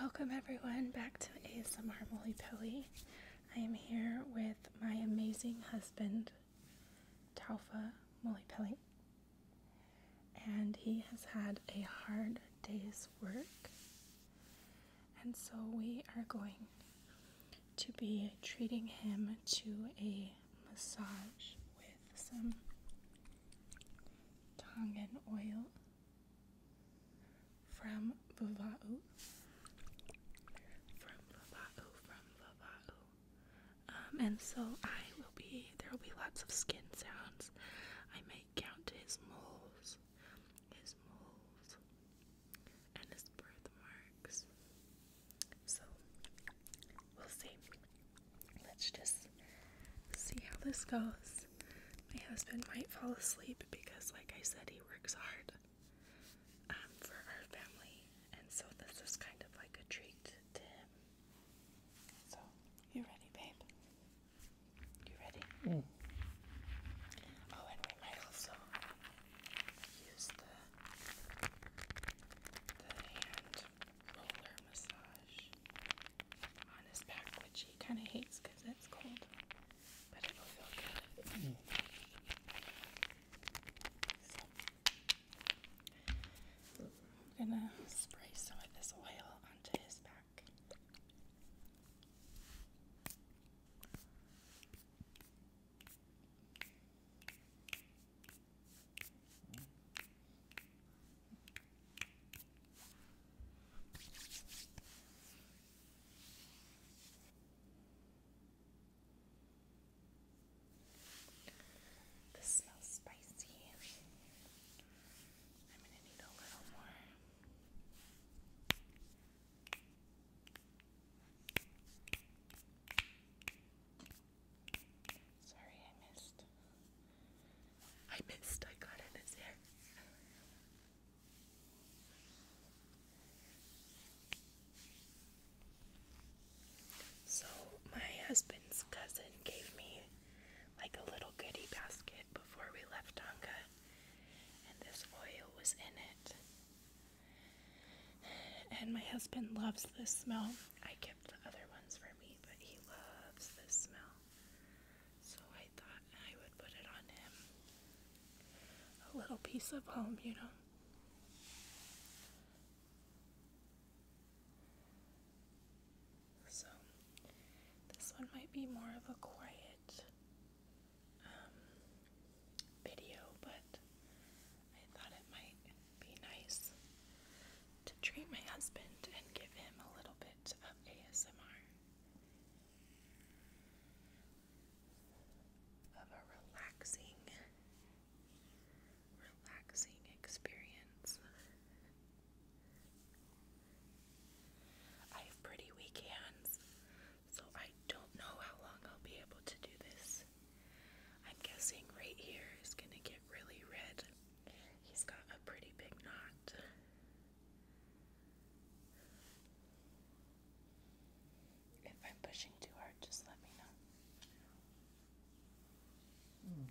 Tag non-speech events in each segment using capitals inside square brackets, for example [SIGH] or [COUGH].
Welcome everyone back to ASMR Molly Pelly. I am here with my amazing husband, Taufa Molly Pelly, and he has had a hard day's work, and so we are going to be treating him to a massage with some Tongan oil. From Vava'u. From Vava'u, from Vava'u. Um, and so I will be, there will be lots of skin sounds. I may count his moles, his moles, and his birthmarks. So, we'll see. Let's just see how this goes. My husband might fall asleep because, like I said, he works hard um, for our family, and so this is kind of like a treat to him. So, you ready, babe? You ready? Mm. Oh, and we might also use the hand roller massage on his back, which he kind of hates because it's cold, but it'll feel good. I'm gonna spray some of this oil onto his back. This smells spicy. I'm going to need a little more. Sorry, I missed. I missed. I got in his hair. So my husband's cousin gave me like a little goodie basket before we left Tonga, and this oil was in it. And my husband loves this smell. I kept the other ones for me, but he loves this smell. So I thought I would put it on him. A little piece of home, you know. So this one might be more of a quiet um, video, but I thought it might be nice to treat my husband and give him a little bit of ASMR, of a relaxing, relaxing experience. I have pretty weak hands, so I don't know how long I'll be able to do this. I'm guessing right here is going to get really red He's got a pretty big knot. If I'm pushing too hard, just let me know. Hmm.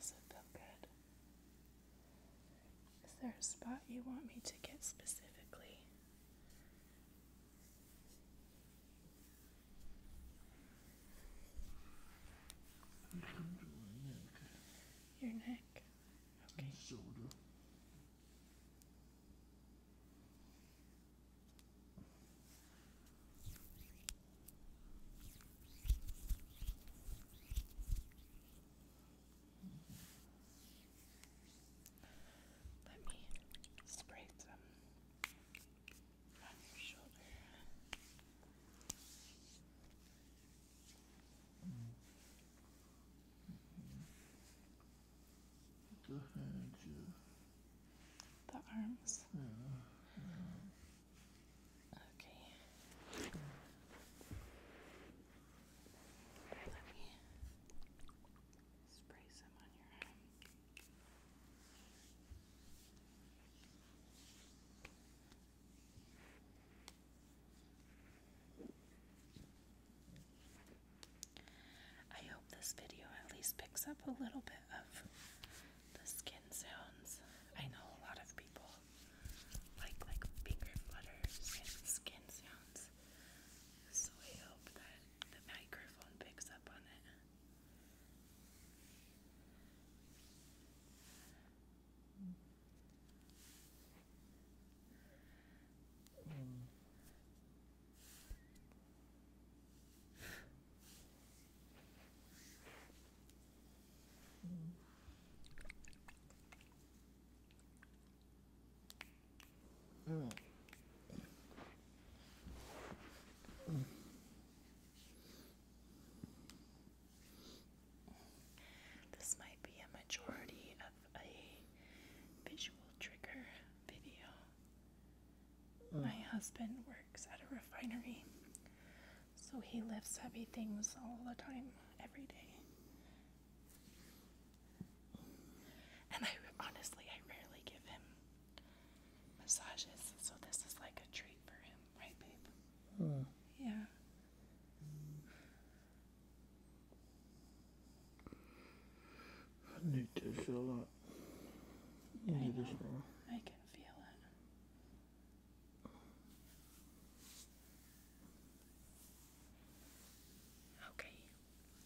Does it feel good? Is there a spot you want me to get specifically? Your neck. Okay. Let me spray some on your shoulder. The hands, yeah the arms. Okay. Let me spray some on your arm. I hope this video at least picks up a little bit of the skin sounds. I know a lot of people like like finger flutters and skin sounds. So I hope that the microphone picks up on it. Hmm. Mm. Mm. Mm. This might be a majority of a visual trigger video. My husband works at a refinery, so he lifts heavy things all the time, every day. And I honestly, I rarely give him massages, so this is like a treat for him, right, babe? Hmm. Yeah. I need to fill up. I can feel it. Okay.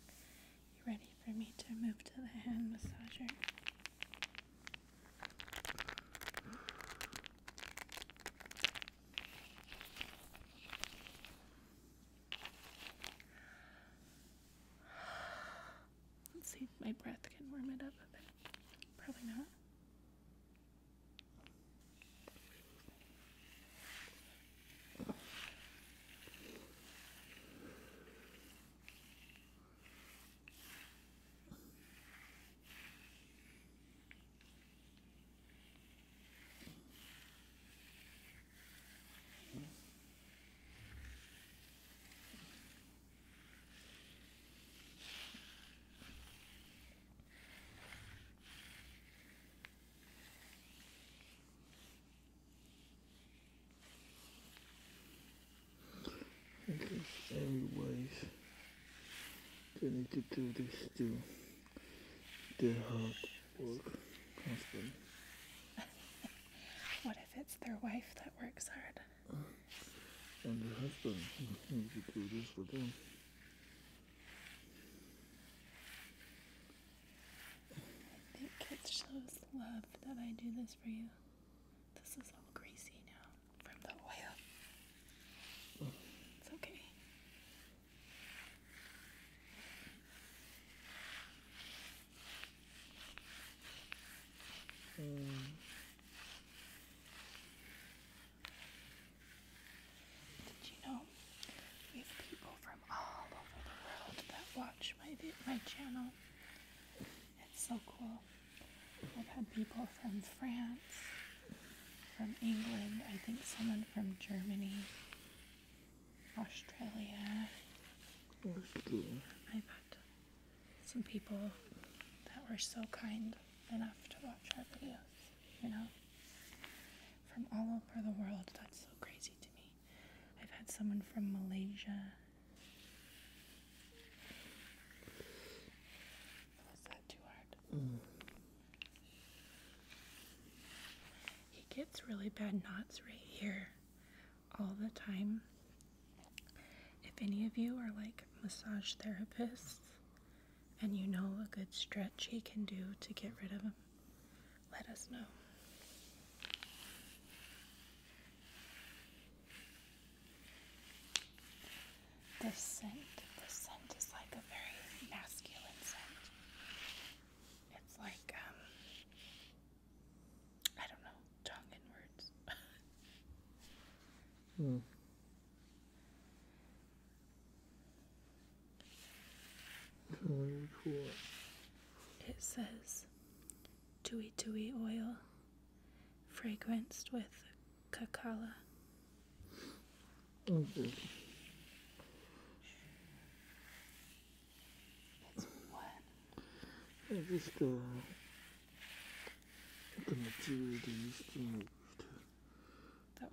You ready for me to move to the hand massager? Let's see if my breath can warm it up a bit. Probably not. Anyways, everybody's need to do this too. Their hard work constantly. [LAUGHS] What if it's their wife that works hard? And her husband. I think it shows love that I do this for you. This is all greasy now from the oil. It's okay. Did you know we have people from all over the world that watch my my channel? It's so cool. I've had people from France, from England, I think someone from Germany, Australia. Australia. I've some people that were so kind enough to watch our videos, you know, from all over the world. That's so crazy to me. I've had someone from Malaysia. Was that too hard? Mm. He gets really bad knots right here all the time. If any of you are like massage therapists and you know a good stretch he can do to get rid of him, let us know. The scent, the scent is like a very masculine scent. It's like, um, I don't know, tongue in [LAUGHS] hmm. It says Tui Tui oil fragranced with cacala. Mm-hmm. That's what? I the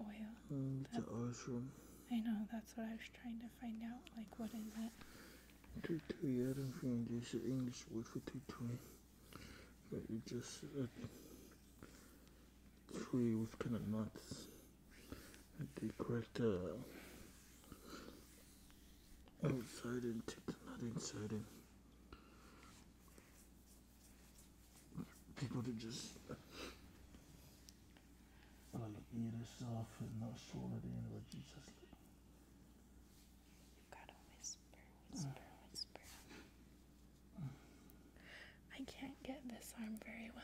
oil. the ashram. I know. That's what I was trying to find out. Like, what is it? Tutui. I don't think there's English word for tutui, but it's just a tree with kind of nuts decorate uh, outside and take the nut inside people to just uh, like eat herself and not swallow the end of Jesus. You gotta whisper, whisper, whisper. Mm. I can't get this arm very well.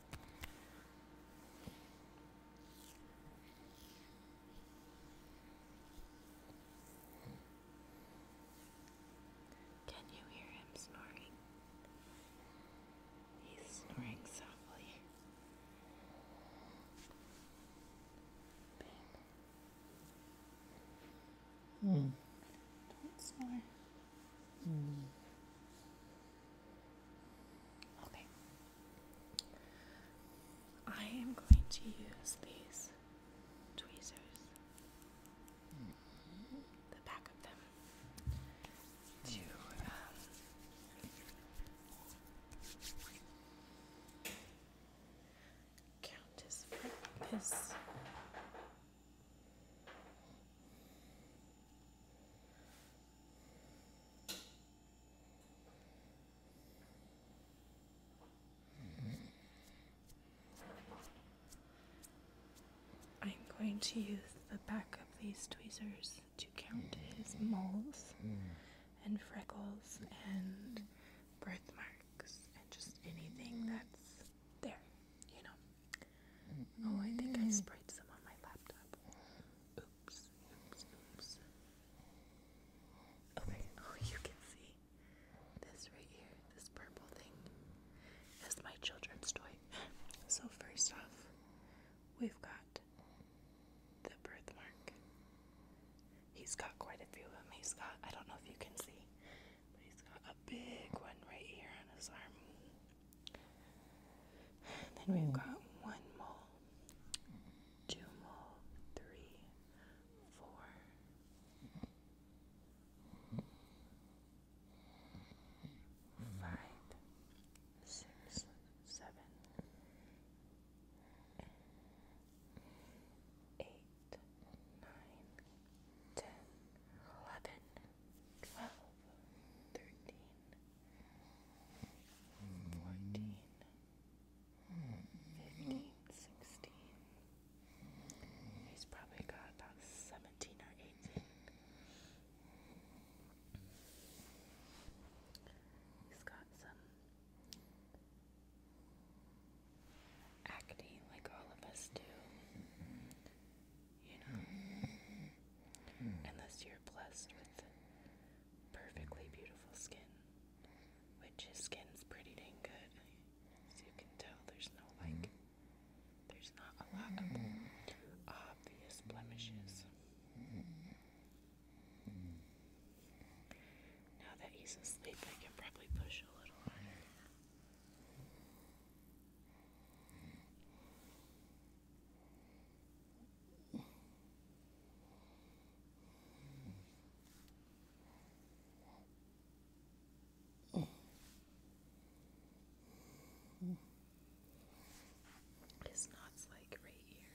Can you hear him snoring? He's snoring softly. Babe. Hmm. Don't snore. Mm. Okay. I am going to use these tweezers, the back of them, to um, count his his I'm going to use the back of these tweezers to count his moles and freckles and birthmarks and just anything that's there, you know. Oh, I think I mm. sprayed some on my laptop. Okay, [LAUGHS] oh, you can see this right here, this purple thing is my children's toy. So, first off, we've got the birthmark. He's got quite a few of them. He's got, I don't know if you can see, but he's got a big one right here on his arm. Then we've got one mole, two mole, three, four, five, six, seven, eight, nine, ten, eleven, twelve, thirteen. 14, 15, hmm. 16. He's probably got about 17 or 18. He's got some acne, like all of us do you know, unless you're blessed with perfectly beautiful skin, which his skin's pretty dang good. As you can tell, there's no like, mm-hmm. there's not a lot of obvious blemishes. Now that he's asleep, I can probably push a little harder. His knot's like right here.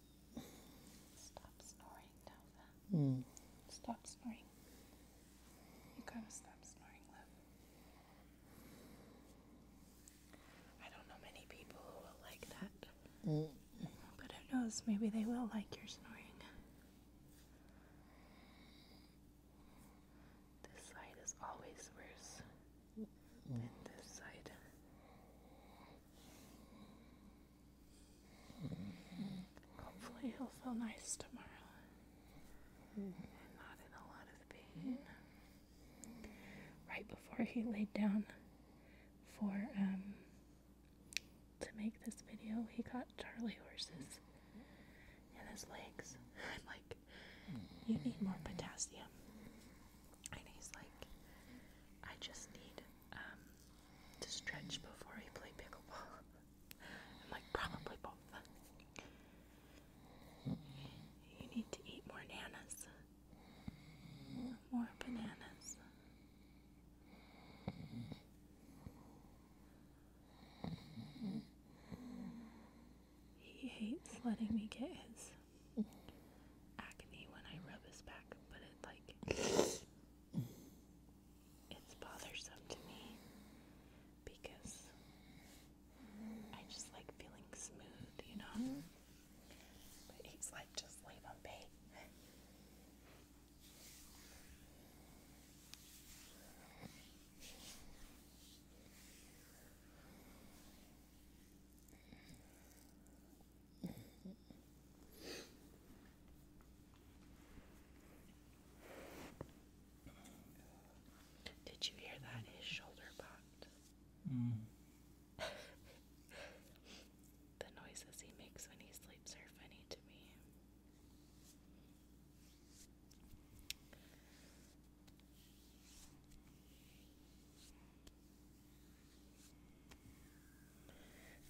Stop snoring, Delva. Hmm. Stop snoring. You gotta stop snoring, love. I don't know many people who will like that. Hmm. But who knows? Maybe they will like your snoring. This side is always worse hmm. than this side. Hopefully, he'll feel nice tomorrow and not in a lot of pain. Right before he laid down for um, to make this video, he got Charlie horses in his legs. [LAUGHS] I'm like, you need more potassium, and he's like, I just need um, to stretch before I play pickleball. [LAUGHS] i like, probably both. You need to eat more nanas. More bananas. He hates letting me get his acne when I rub his back, but it like it's bothersome to me because I just like feeling smooth, you know. Mm-hmm. But he's like, just leave him be. Did you hear that? His shoulder popped. Mm. [LAUGHS] the noises he makes when he sleeps are funny to me.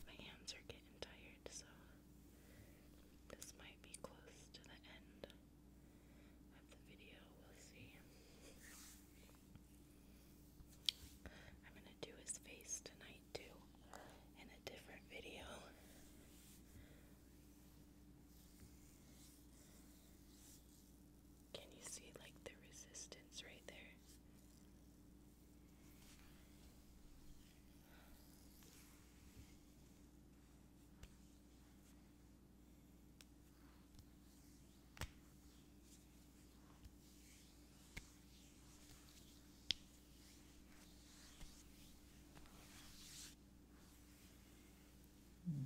My hands are getting tired, so this might be close to the end of the video. We'll see. I'm gonna do his face tonight, too, in a different video. Can you see like the resistance right there? Mm.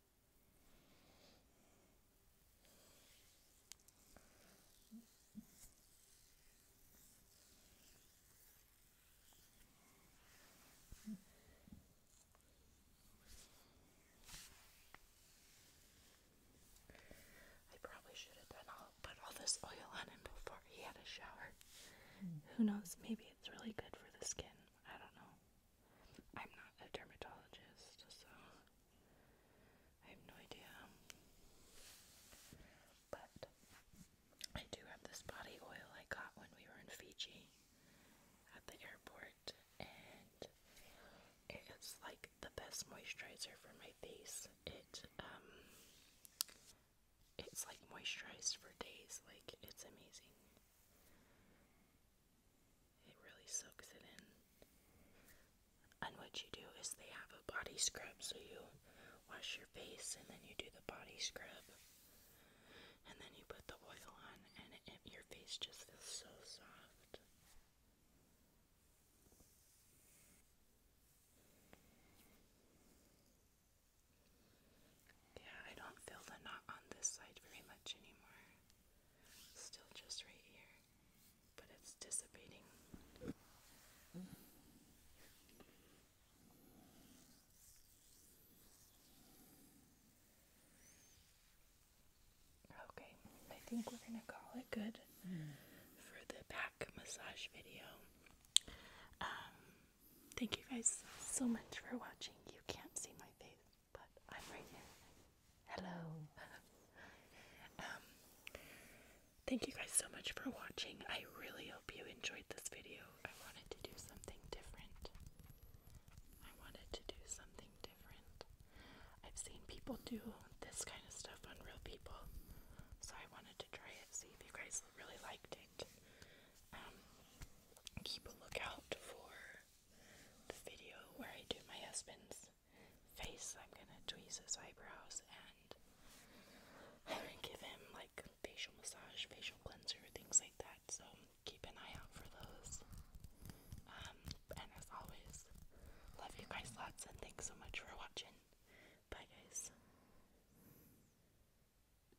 I probably should have put all this oil on him before he had a shower. Hmm. Who knows? Maybe it's really good for the skin. I don't know. I'm not a dermatologist, so I have no idea. But I do have this body oil I got when we were in Fiji at the airport, and it is like the best moisturizer for my face. It um, it's like moisturized for days. Like it's amazing. It really soaks it in. And what you do is they have a body scrub, so you wash your face and then you do the body scrub. And then you put the oil on, and your face just feels so soft. Yeah, I don't feel the knot on this side very much anymore. Still just right here, but it's dissipating. Okay, I think we're gonna call it good hmm. for the back massage video. Um, Thank you guys so much for watching. You can't see my face, but I'm right here. Hello. [LAUGHS] Um, thank you guys so much for watching. I really hope you enjoyed this video. I wanted to do something different. I wanted to do something different. I've seen people do this kind of stuff on real people, so I wanted to try it, see if you guys really liked it. Um, keep a lookout for the video where I do my husband's face. I'm gonna tweeze his eyebrows and [LAUGHS] give him like facial massage, facial cleanser, things like that. So keep an eye out for those. Um, and as always, love you guys lots and thanks so much for watching. Bye guys.